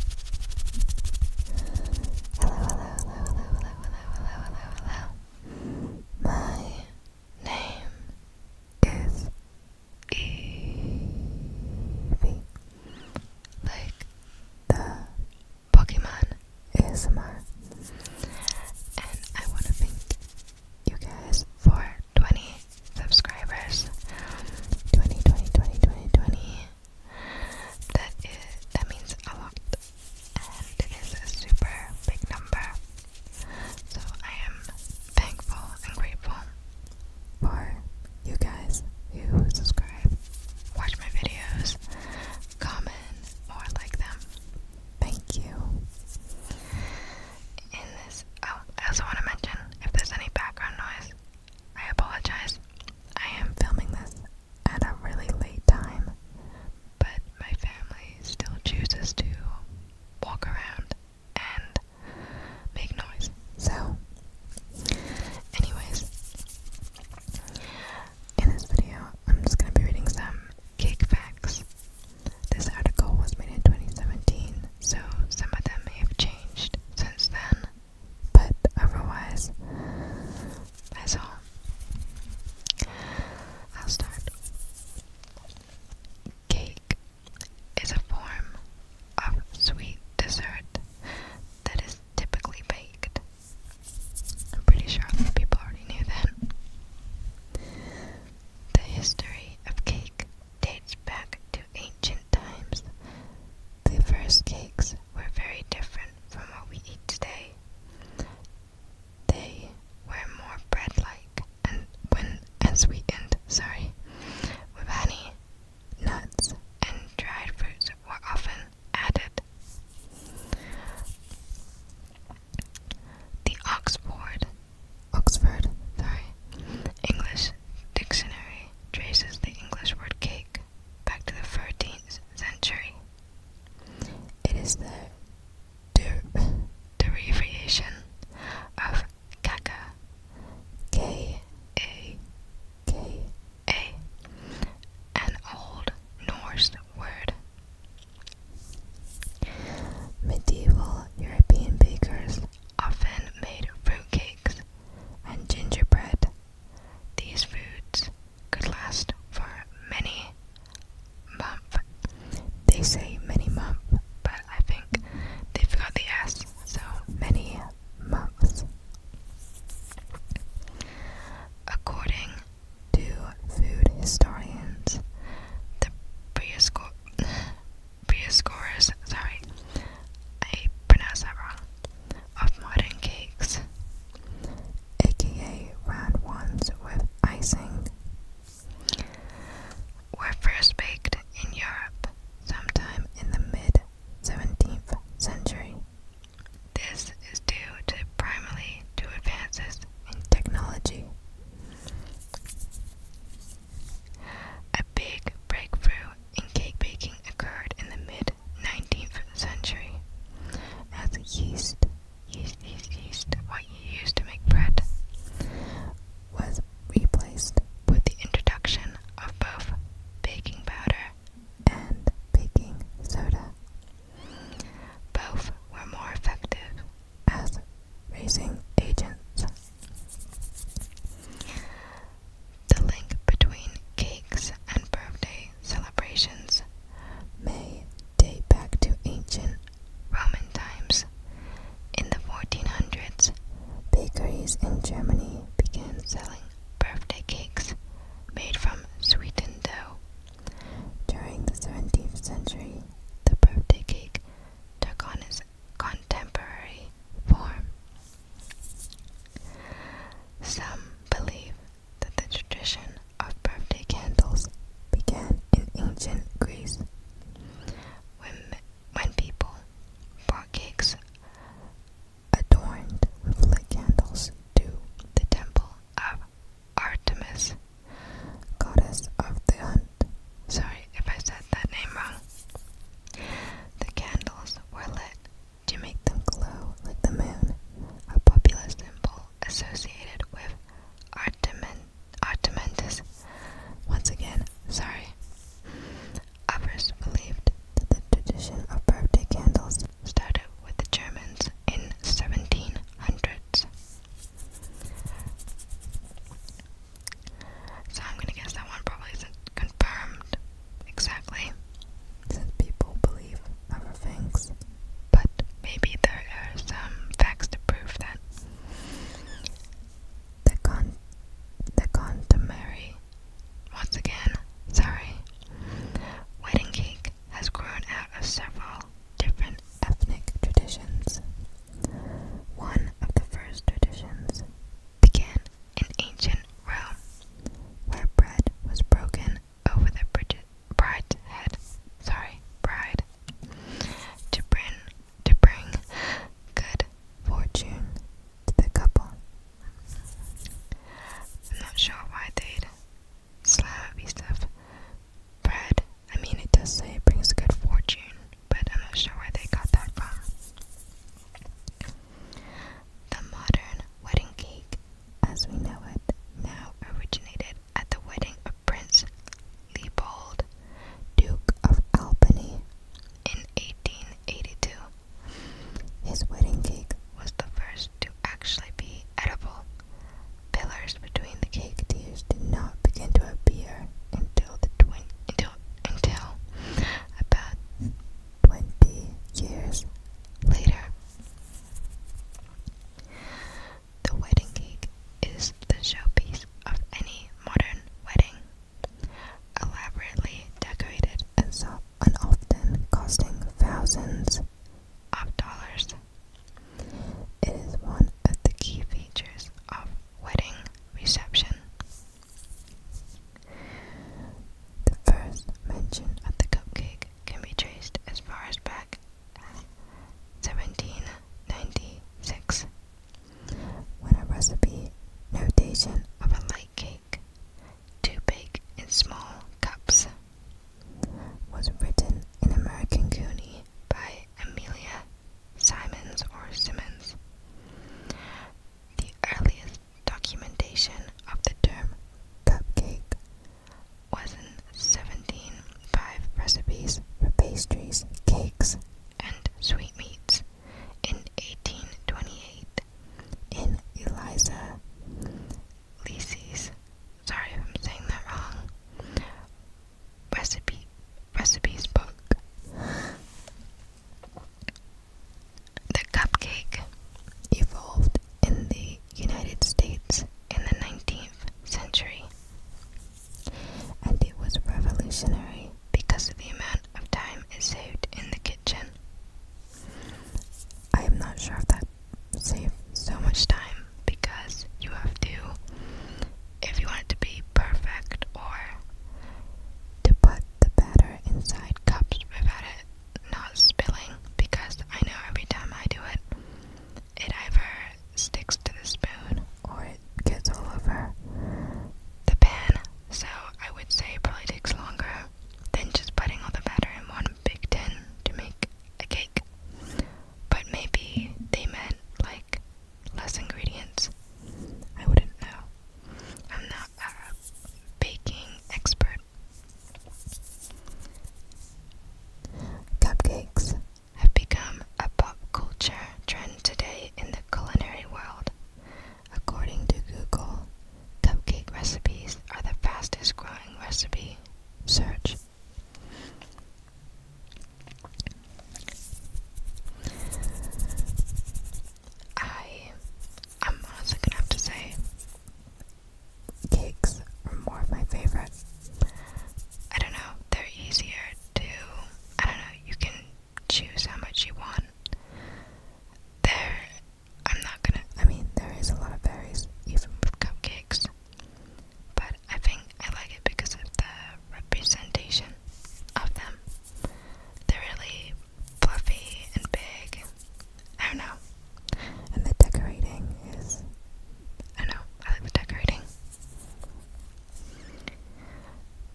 hello, hello, hello, hello, hello, hello, hello. My name is Eevee. Like the Pokemon ASMR. And I want to thank you guys for 20 subscribers. 20, 20, 20, 20, 20. That is that means a lot, and it is a super big number. So I am thankful and grateful for you guys who subscribe, watch my videos, comment or like them. Thank you. In this, oh, I also want to mention if there's any background noise. I apologize. I am filming this at a really late time, but my family still chooses to walk around and make noise. So, anyways, in this video, I'm just going to be reading some cake facts. This article was made in 2017, so some of them may have changed since then but otherwise, that's all. I'll start. Cake is a form of sweet dessert that is typically baked. I'm pretty sure people already knew that. The history of cake dates back ancient times, the first cakes were very different from what we eat today. They were more bread-like and when and sweetened, sorry, with honey, nuts, and dried fruits were often added. The Oxford, Oxford, sorry, English dictionary traces the English word cake back to the 14th century. It is the der derivation of kaka, K A K A, an old Norse word. Medieval European bakers often made fruitcakes and gingerbread these foods could last for many months. They say many months, but I think they forgot the S, so many months. According to food historians, the prehistoric sorry, I pronounce that wrong, of modern cakes, aka round ones with icing, were first baked in Europe sometime in the mid 17th century. This is due primarily to advances in technology. A big breakthrough in cake baking occurred in the mid mid-19th century as yeast. Yeast, yeast, yeast, what you use to make bread, was replaced with the introduction of both baking powder and baking soda. Both were more effective as raising agents. The link between cakes and birthday celebrations may date back to ancient Roman times. In the 1400s, bakeries in Germany began selling birthday cakes made from sweetened dough. During the 17th century, the birthday cake took on its contemporary form. Some believe that the tradition of birthday candles began in ancient Greece when, when people brought cakes adorned with lit candles to the temple of Artemis, goddess of the hunt. Sorry if I said that name wrong. The candles were lit to make them glow like the moon, a popular symbol associated with Artemis. Artementus. Once again, sorry. I Others believed that the tradition of birthday candles started with the Germans in 1700s. So I'm gonna guess that one probably isn't confirmed, Exactly. Since people believe other things. But maybe there are some facts to prove that. The con the contemporary once again, sorry. Wedding cake has grown out of several different ethnic traditions. One of the first traditions began in ancient Rome, where bread was broken over the bride's head. Sorry, bride. To bring, to bring good fortune to the couple. I'm not sure why they'd slam a piece bread. I mean, it does say it brings good fortune, but I'm not sure where they got that from. The modern wedding cake, as we know it now, originated at the wedding of Prince Leopold, Duke of Albany, in 1882. His wedding cake was the first to actually be edible. Pillars between the cake tiers did not begin to appear until the twin until, until about 20 years later. The wedding cake is the showpiece of any modern wedding, elaborately decorated and, often costing thousands of dollars. It is one of the key features of wedding reception. The first mention of the cupcake can be traced as far as back as 1796 when a recipe notation of a light cake to bake in small cups was written in American Goonie by Amelia Simmons or Simmons. The earliest documentation of the term cupcake was in 17 recipes for pastries, cakes, and sweetmeats in 1828 in Eliza Leasy's, sorry if I'm saying that wrong, recipe recipes book. The cupcake evolved in the United States in the 19th century, and it was revolutionary because of the amount of time it saved in the kitchen. I am not sure if that saved so much time because you have to, if you want it to be perfect, or to put the batter inside cups without it not spilling because I know every time I do it, it either sticks to the spoon or it gets all over the pan. So I would say probably takes longer than just putting all the batter in one big tin to make a cake. But maybe they meant like less ingredients. I wouldn't know. I'm not baking expert. Cupcakes have become a pop culture trend today in the culinary world. According to Google, cupcake recipes are the fastest growing recipe search. I I'm honestly gonna have to say cakes are more of my favorite. I don't know, they're easier to I don't know, you can choose how much you want. There I'm not gonna I mean there is a lot of berries even with cupcakes. But I think I like it because of the representation of them. They're really fluffy and big. I don't know. And the decorating is. I know, I like the decorating.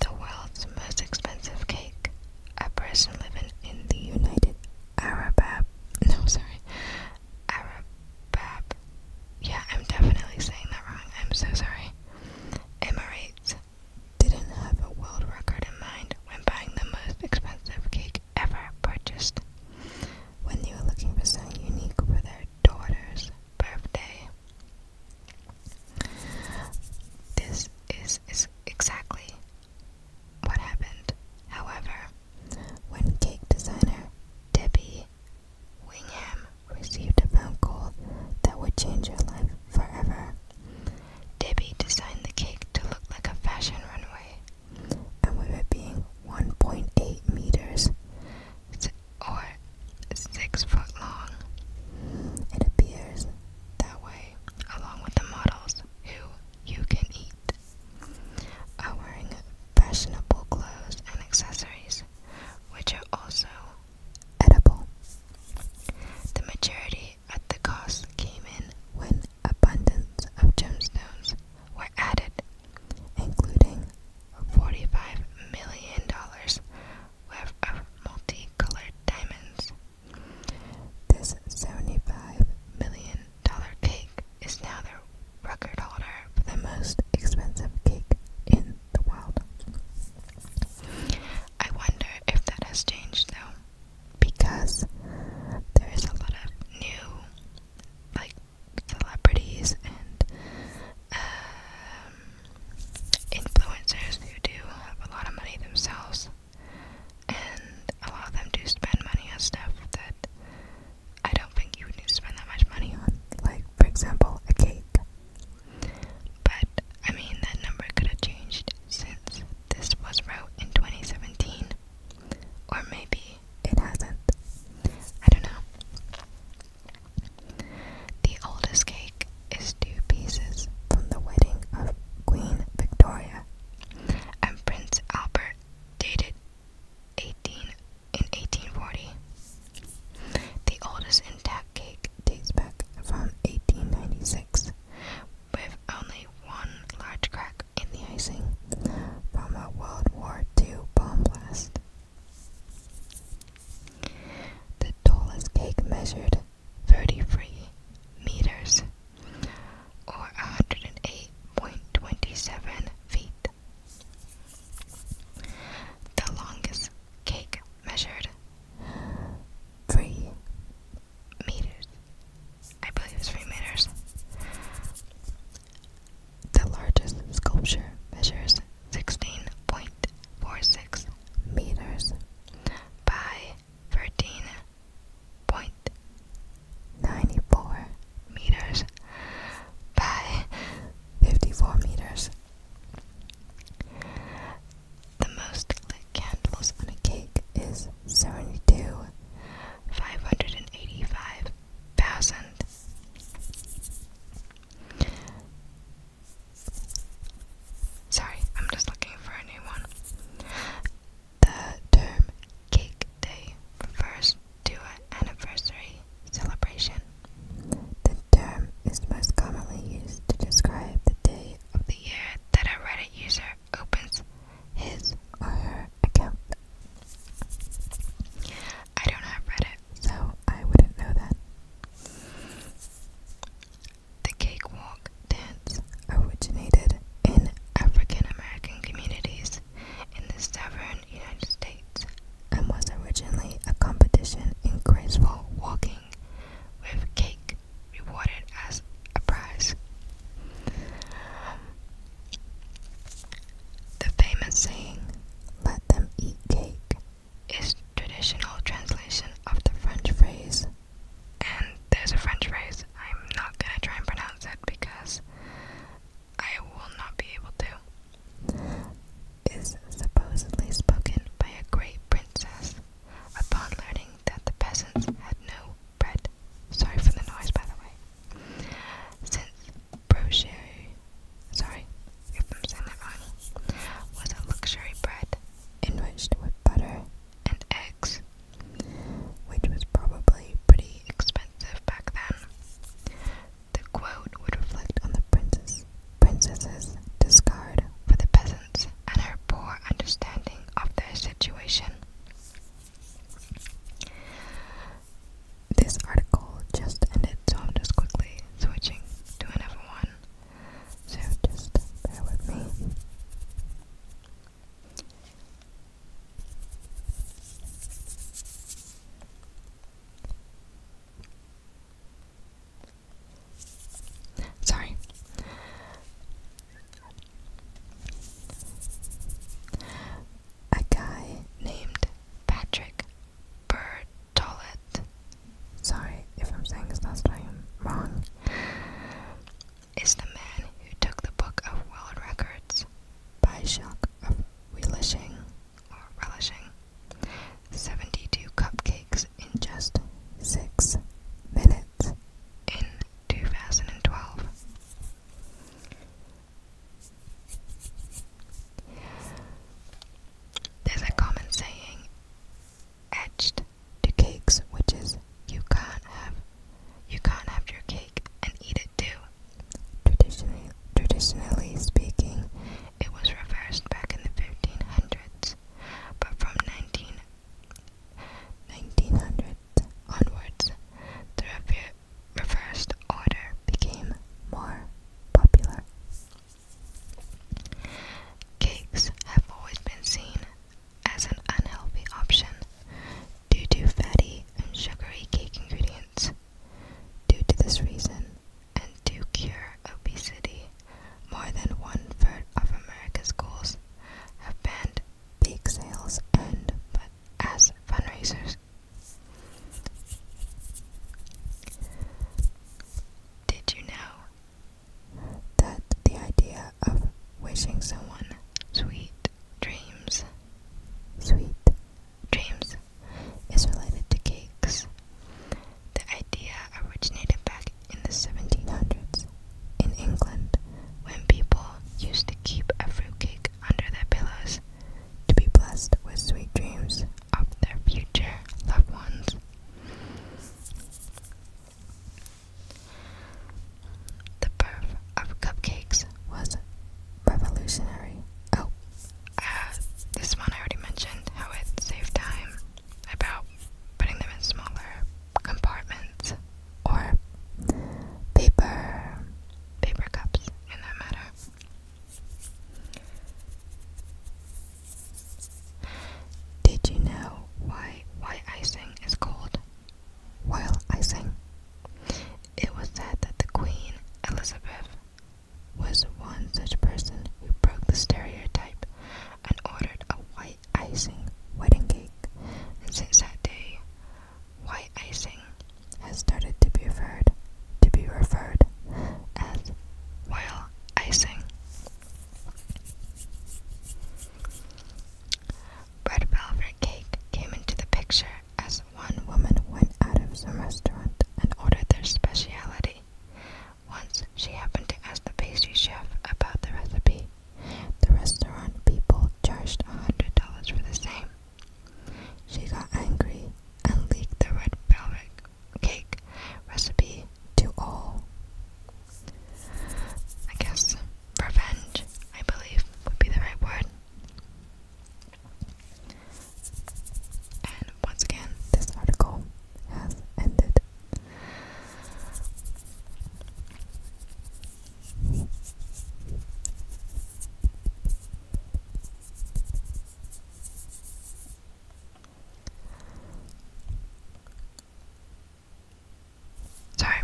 The world's most expensive cake. A person living in the United Arab. No, sorry. Arab. Yeah, I'm definitely saying that wrong. I'm so sorry. Emirates didn't have a world record in mind when buying the most expensive cake ever purchased. When you are looking for something unique for their daughter's birthday, this is, is exactly what happened. However, when cake designer Debbie Wingham received a phone call that would change her life forever. Debbie designed the cake to look like a fashion runway, and with it being 1.8 meters or 6 foot long, it appears that way, along with the models who you can eat are wearing fashionable clothes and accessories, which are also edible. The majority at the cost came in when abundance of gemstones were added, including $45 million worth of multicolored diamonds. This $75 million cake is now the record holder for the most expensive cake in the world. I wonder if that has changed though because there's a lot of new like celebrities and um, influencers who do have a lot of money themselves, and a lot of them do spend money on stuff that I don't think you would need to spend that much money on, like, for example, a cake. But I mean, that number could have changed since this was wrote in 2017, or maybe it hasn't. I don't know. The oldest cake is two pieces from the wedding of Queen Victoria and Prince Albert, dated 18 in 1840. The oldest intact cake dates back from 1896 with only one large crack in the icing from a World War II bomb blast. The tallest cake measured 33 meters or 108.27 feet. The longest cake measured 3 meters. I believe it's three meters. The largest sculpture measures 16.46 meters by 13.94 meters by 54 meters. The most lit candles on a cake is seventy-two, five hundred and eighty-five thousand. Sorry, I'm just looking for a new one. The term Cake Day refers to an anniversary celebration. The term is most commonly used to describe the day of the year that a Reddit user opens his or her account. I don't have Reddit, so I wouldn't know that. The cakewalk dance originated in African American communities in the southern United States and was originally a competition in graceful walking with cake rewarded as a prize. The famous saying, let them eat cake, is traditional translation of the French phrase. And there's a French phrase, I'm not gonna try and pronounce it because I will not be able to. Is supposedly spoken by a great princess Upon learning that the peasants had no bread, sorry for the noise by the way, since brochere, sorry if I'm saying that wrong, was a luxury bread enriched with butter and eggs, which was probably pretty expensive back then. The quote would reflect on the princess princess's discard for the peasants and her poor understanding of their situation. This article just ended, so I'm just quickly switching to another one. So just bear with me. Sorry. A guy named Patrick Bertolet. Sorry if I'm saying his last name wrong. Is the man who took the Book of World Records by shock relishing or relishing 72 cupcakes in just six minutes in 2012. There's a common saying etched to cakes, which is you can't have you can't have your cake and eat it too. Traditionally, traditionally speaking, it was reversed back in the 1500s, but from 19 1900s onwards, the rever reversed order became more popular. Cakes have always been seen as an unhealthy option due to fatty and sugary cake ingredients. Due to this reason, and to cure obesity, more than one third of America's schools have banned bake sales and as fundraisers. Did you know that the idea of wishing someone sweet dreams, sweet dreams, is related to cakes? The idea originated back in the 1700s in England when people used to keep a fruitcake under their pillows to be blessed with sweet dreams of their future loved ones. The birth of cupcakes was revolutionary. Oh, uh, this one I already mentioned how it saved time about putting them in smaller compartments or paper paper cups in that matter. Did you know why white icing is called royal icing? It was said that the Queen Elizabeth was one such person who broke the stereotype and ordered a white icing wedding cake, and since that day, white icing has started to be referred to be referred as while icing. Red velvet cake came into the picture as one woman went out of some restaurant and ordered their speciality, once she happened to ask the pastry chef about the recipe. The restaurant people charged $100 for the same. She got angry and leaked the red velvet cake recipe to all. I guess revenge, I believe, would be the right word. And once again, this article has ended. Sorry,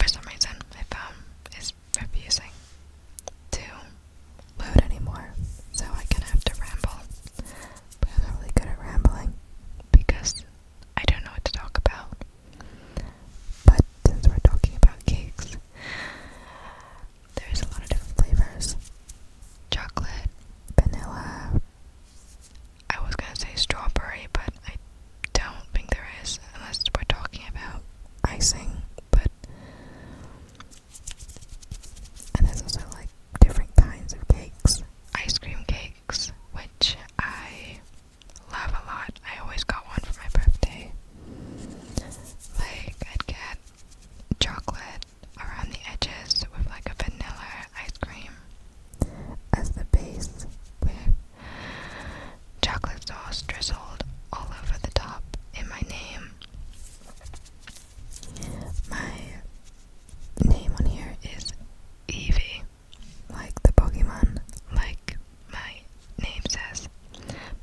for some reason my phone is refusing to load anymore, so I can have to ramble. But I'm really good at rambling because I don't know what to talk about. But since we're talking about cakes, there's a lot of different flavors chocolate, vanilla. I was gonna say strawberry, but I don't think there is, unless we're talking about icing. But and there's also like different kinds of cakes ice cream cake which I love a lot. I always got one for my birthday. Like, I'd get chocolate around the edges with like a vanilla ice cream as the base, with chocolate sauce drizzled all over the top in my name. My name on here is Evie like the Pokemon, like my name says,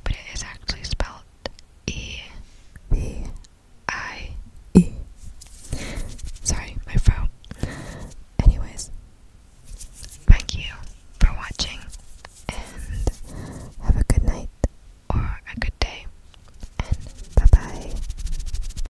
but it is actually spelled E B I E. Sorry, my phone. Anyways, thank you for watching and have a good night or a good day, and bye bye.